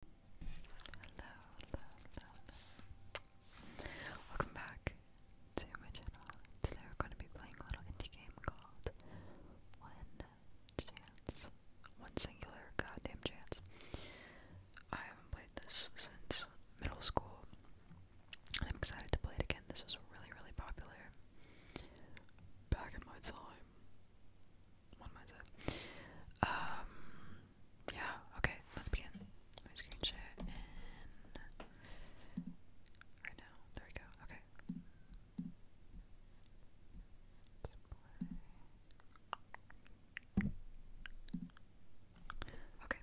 hello, hello, hello. Welcome back to my channel. Today we're going to be playing a little indie game called One Chance. One singular goddamn chance. I haven't played this since middle school. And I'm excited to play it again. This was really, really popular back in my time. What am um, yeah, okay, let's begin. Let screen share right now. There we go. Okay. Okay.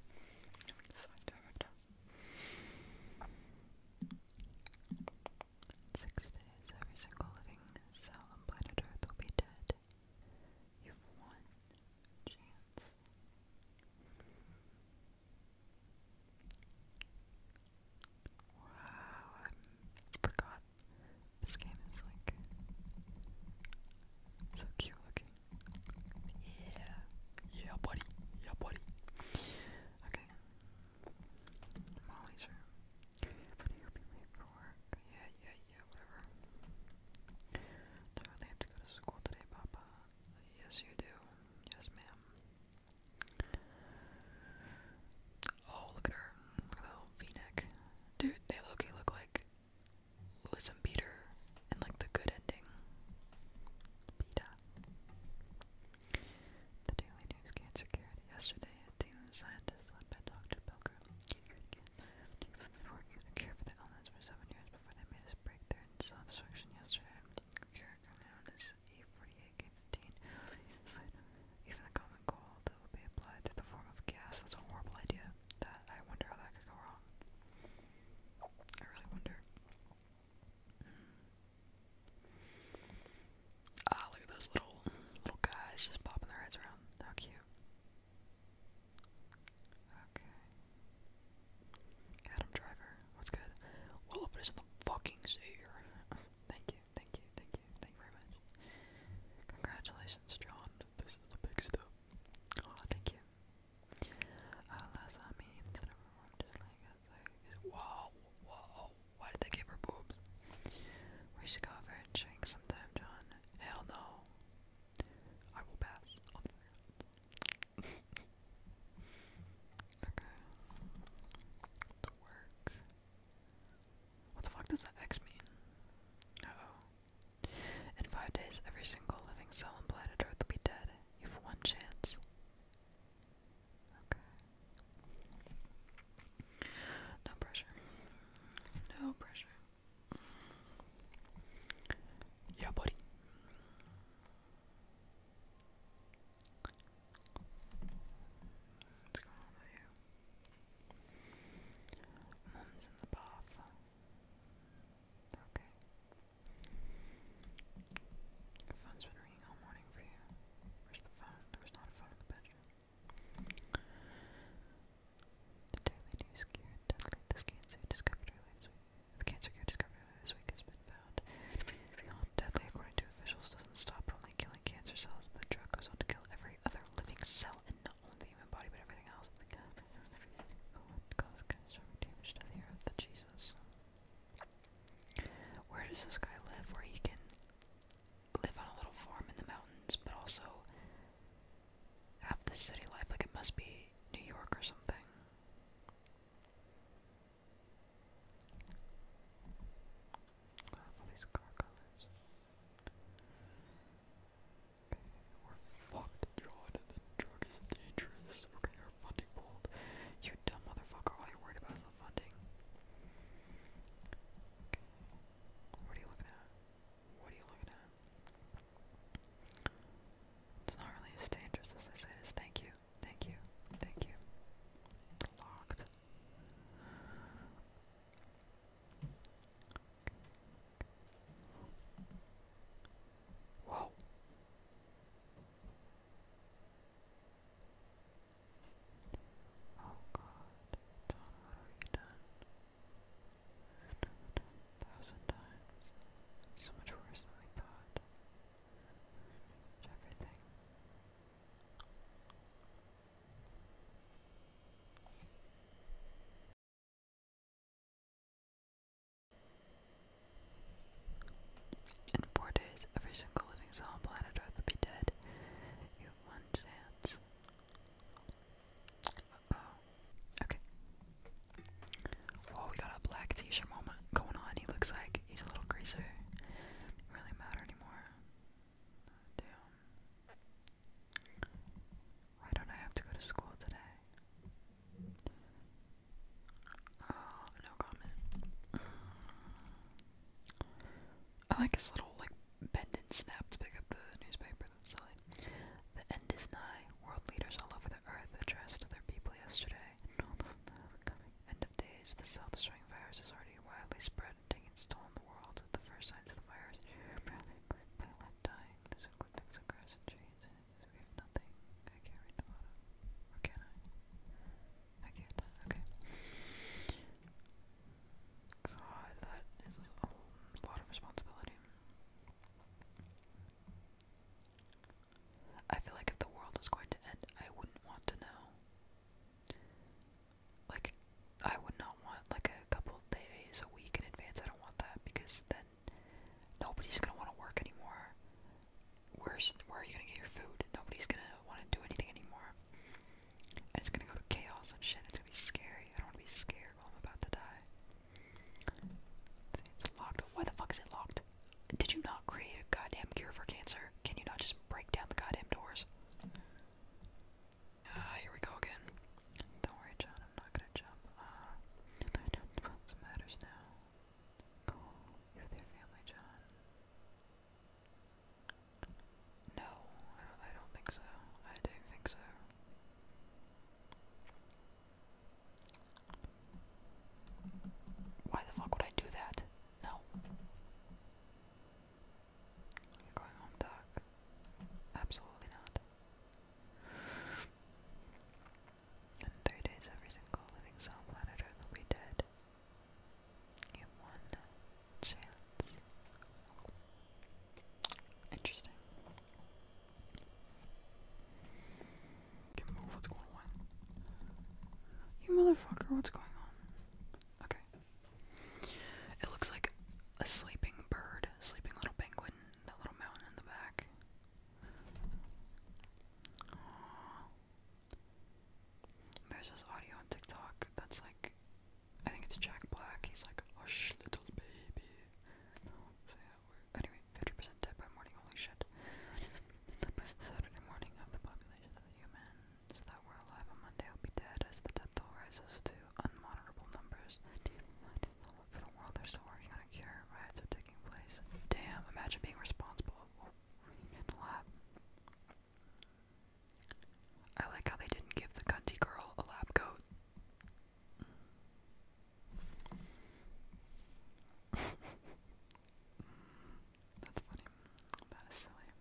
Six days every single living cell on planet Earth will be dead. You've one Wow, I forgot. This game is like so cute looking. Yeah. Yeah, buddy. Yeah, buddy. Okay. Molly's room. But you'll be late for work. Yeah, yeah, yeah, whatever. Do I have to go to school today, Papa? Yes, you do. Yes, ma'am. Oh, look at her. Look at that little v-neck. Dude, they low-key look like Louis Peter and like the good ending. Peter. The Daily News gained security yesterday Dean the scientist led by Dr. Pilgrim, working on a for the illness for seven years before they made this breakthrough in self-destruction yesterday. The known as e 48 Even the common cold will be applied to the form of gas. That's a horrible idea. That I wonder how that could go wrong. I really wonder. Hmm. Ah, look at those little little guys just popping their heads around. How cute. Okay. Adam Driver, what's good? Well, if it isn't the fucking savior. thank you, thank you, thank you, thank you very much. Congratulations, John. This is the big step. Oh, thank you. Uh, last I wow, wow. Why did they give her boobs? We should go over and drink sometime, John. Hell no. I will pass okay. To work. What the fuck does that X mean? oh. In five days, every single living soul on planet Earth will be dead. You've one chance. No pressure. No pressure. Yeah, buddy. What's going on with in the bath. Okay. Your phone's been ringing all morning for you. Where's the phone? There was not a phone in the bedroom. Deadly news cure. Deadly. This cancer discovered this week. The cancer cure discovered this week has been found. deadly, according to officials, doesn't stop only killing cancer cells. The drug goes on to kill every other living cell, and not only the human body, but everything else. cause catastrophic damage to the earth. The Jesus. Where does this guy live? Where he can live on a little farm in the mountains, but also have the city life. Like it must be New York or something. I love all these car colors. we're fucked, John, the drug is dangerous. We're getting our funding pulled. You dumb motherfucker, all you worried about funding. What are you looking at? What are you looking at? It's not really as dangerous as I said. It's thank you, thank you, thank you. It's locked. Whoa. Oh god, John, what have you done? a thousand times. so much worse than we thought. everything. In four days, every single living soul on planet Earth will be dead. You have one chance. oh. Okay. Whoa, we got a black t-shirt moment going on. He looks like he's a little greaser. really matter anymore. Why don't I have to go to school today? Oh, no comment. I like his little like bend and snap to pick up the newspaper that's selling. The end is nigh. World leaders all over the earth addressed their people yesterday, and all of them are coming. End of days. The self-destroying virus is already widely spread and taking its toll on the world. The first signs of the virus apparently include people dying. This includes things like grass and trees, and we have nothing. I can't read the bottom. Or can I? Okay with that, okay. God, that is a, lot of responsibility. I feel like if the world was going to end, I wouldn't want to know. Like, I would not want like a couple days a week in advance. I don't want that because then nobody's gonna want to work anymore where's where are you gonna get your food? Nobody's gonna want to do anything anymore, and it's gonna go to chaos and shit. It's gonna be scary. I don't want to be scared while I'm about to die. It's locked. Why the fuck is it locked? Did you not create a goddamn cure for cancer? Can you not just break down the goddamn doors? Ah, here we go again. Don't worry, John. I'm not gonna jump. Uh, ah, what matters now. Call with your family, John. No, I don't, think so. I don't think so. Why the fuck would I do that? No. Are going home, Doc? Absolutely not. In three days, every single living soul on planet Earth will be dead. You have one chance. Interesting. Can move. What's going on? You motherfucker! What's going on? Okay. It looks like a sleeping bird, sleeping little penguin. That little mountain in the back. There's this audio on TikTok that's like, I think it's Jack Black. He's like, hush, little baby. anyway, 50% dead by morning, holy shit. Saturday morning of the population of the humans that were alive on Monday will be dead as the death toll rises to unmonitorable numbers. For the world, they're still working on a cure. Riots are taking place. Damn, imagine being responsible I like how they didn't give the cunty girl a lab coat. That's funny. That is silly.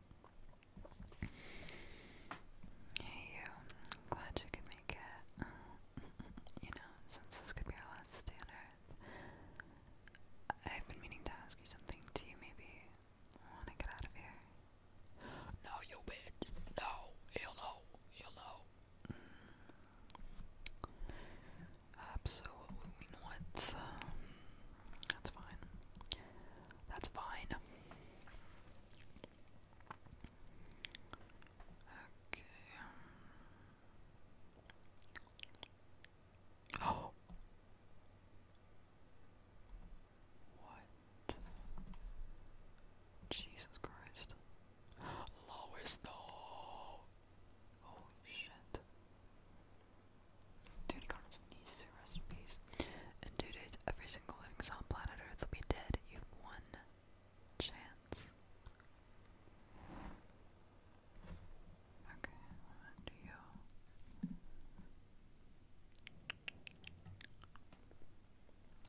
Hey you, glad you could make it. you know, since this could be our last day I've been meaning to ask you something. Do you maybe want to get out of here? No, you bitch. No, he'll know. He'll know. Mm. Absolutely not. that's fine. That's fine. Okay. Um, Oh. What? Jesus Christ. Lois, no! Holy shit. Dude, he got on his knees to rest every single living soul on planet Earth will be dead. You've won. Chance. Okay, one you.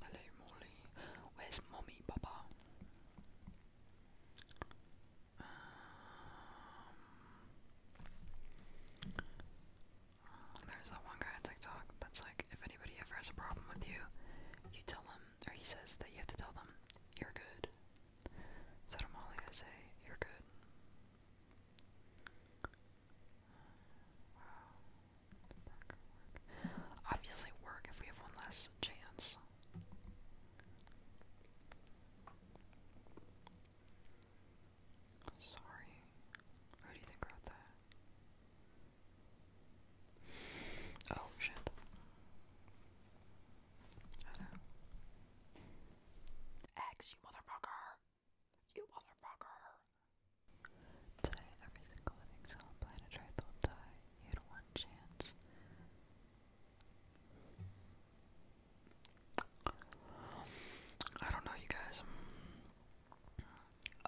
Hello, Molly. Where's mommy, Papa? Um, there's that one guy on TikTok that's like, if anybody ever has a problem with you, you tell them, or he says that you have to tell them, you're good good. So to Molly I say, you're good. Obviously work if we have one last chance. Sorry. Who do you think wrote that? Oh shit. Oh you motherfucker! You motherfucker! Today, every single living cell on planet Earth will die. You had one chance. I don't know, you guys.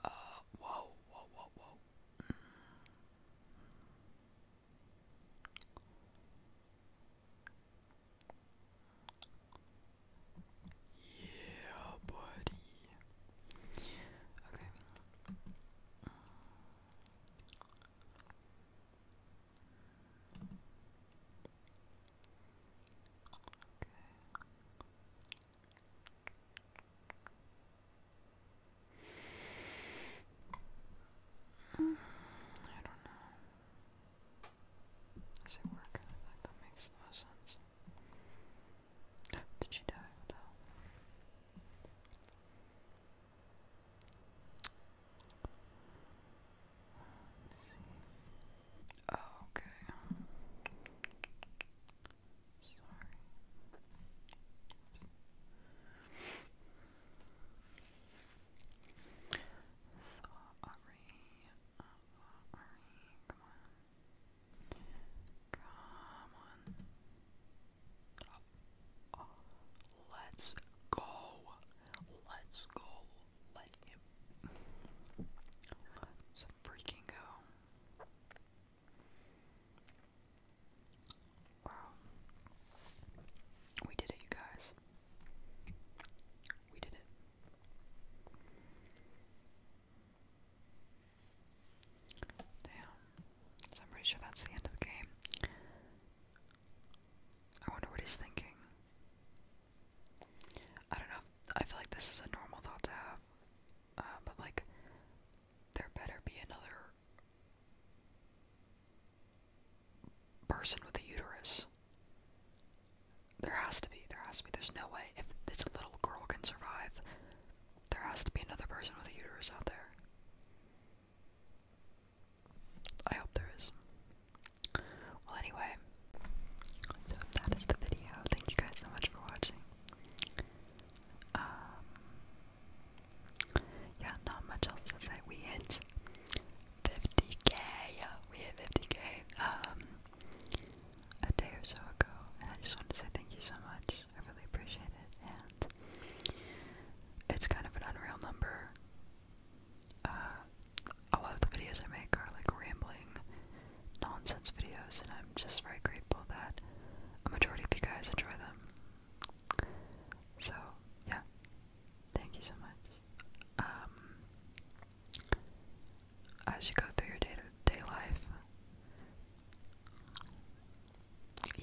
Uh, whoa, whoa, whoa, whoa. Yeah, buddy. Okay. Okay. I don't know. Does it work? that makes no sense. Did she die? Oh, okay. Sorry. Sorry. Come on. Come on. Let's go. Let's go. Let him. Let's freaking go. Wow. We did it, you guys. We did it. Damn. So I'm pretty sure that's the end of the game. I wonder what he's thinking. I don't know. I feel like this is a normal thought to have. Uh, but, like, there better be another person with a uterus. There has to be. There has to be. There's no way. If this little girl can survive, there has to be another person with a uterus out there. I hope there is. Well, anyway, so that is the video. Thank you guys so much for watching. Um, yeah, not much else to say. We hit 50k. We hit 50k um, a day or so ago, and I just wanted to say thank you so much. I really appreciate it, and it's kind of an unreal number. Uh, a lot of the videos I make are like rambling nonsense videos, and I'm just very grateful that a majority of you guys enjoy them. So, yeah. Thank you so much. Um, as you go through your day to day life,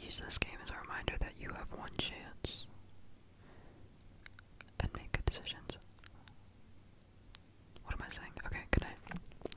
use this game as a reminder that you have one chance and make good decisions. What am I saying? Okay, good night.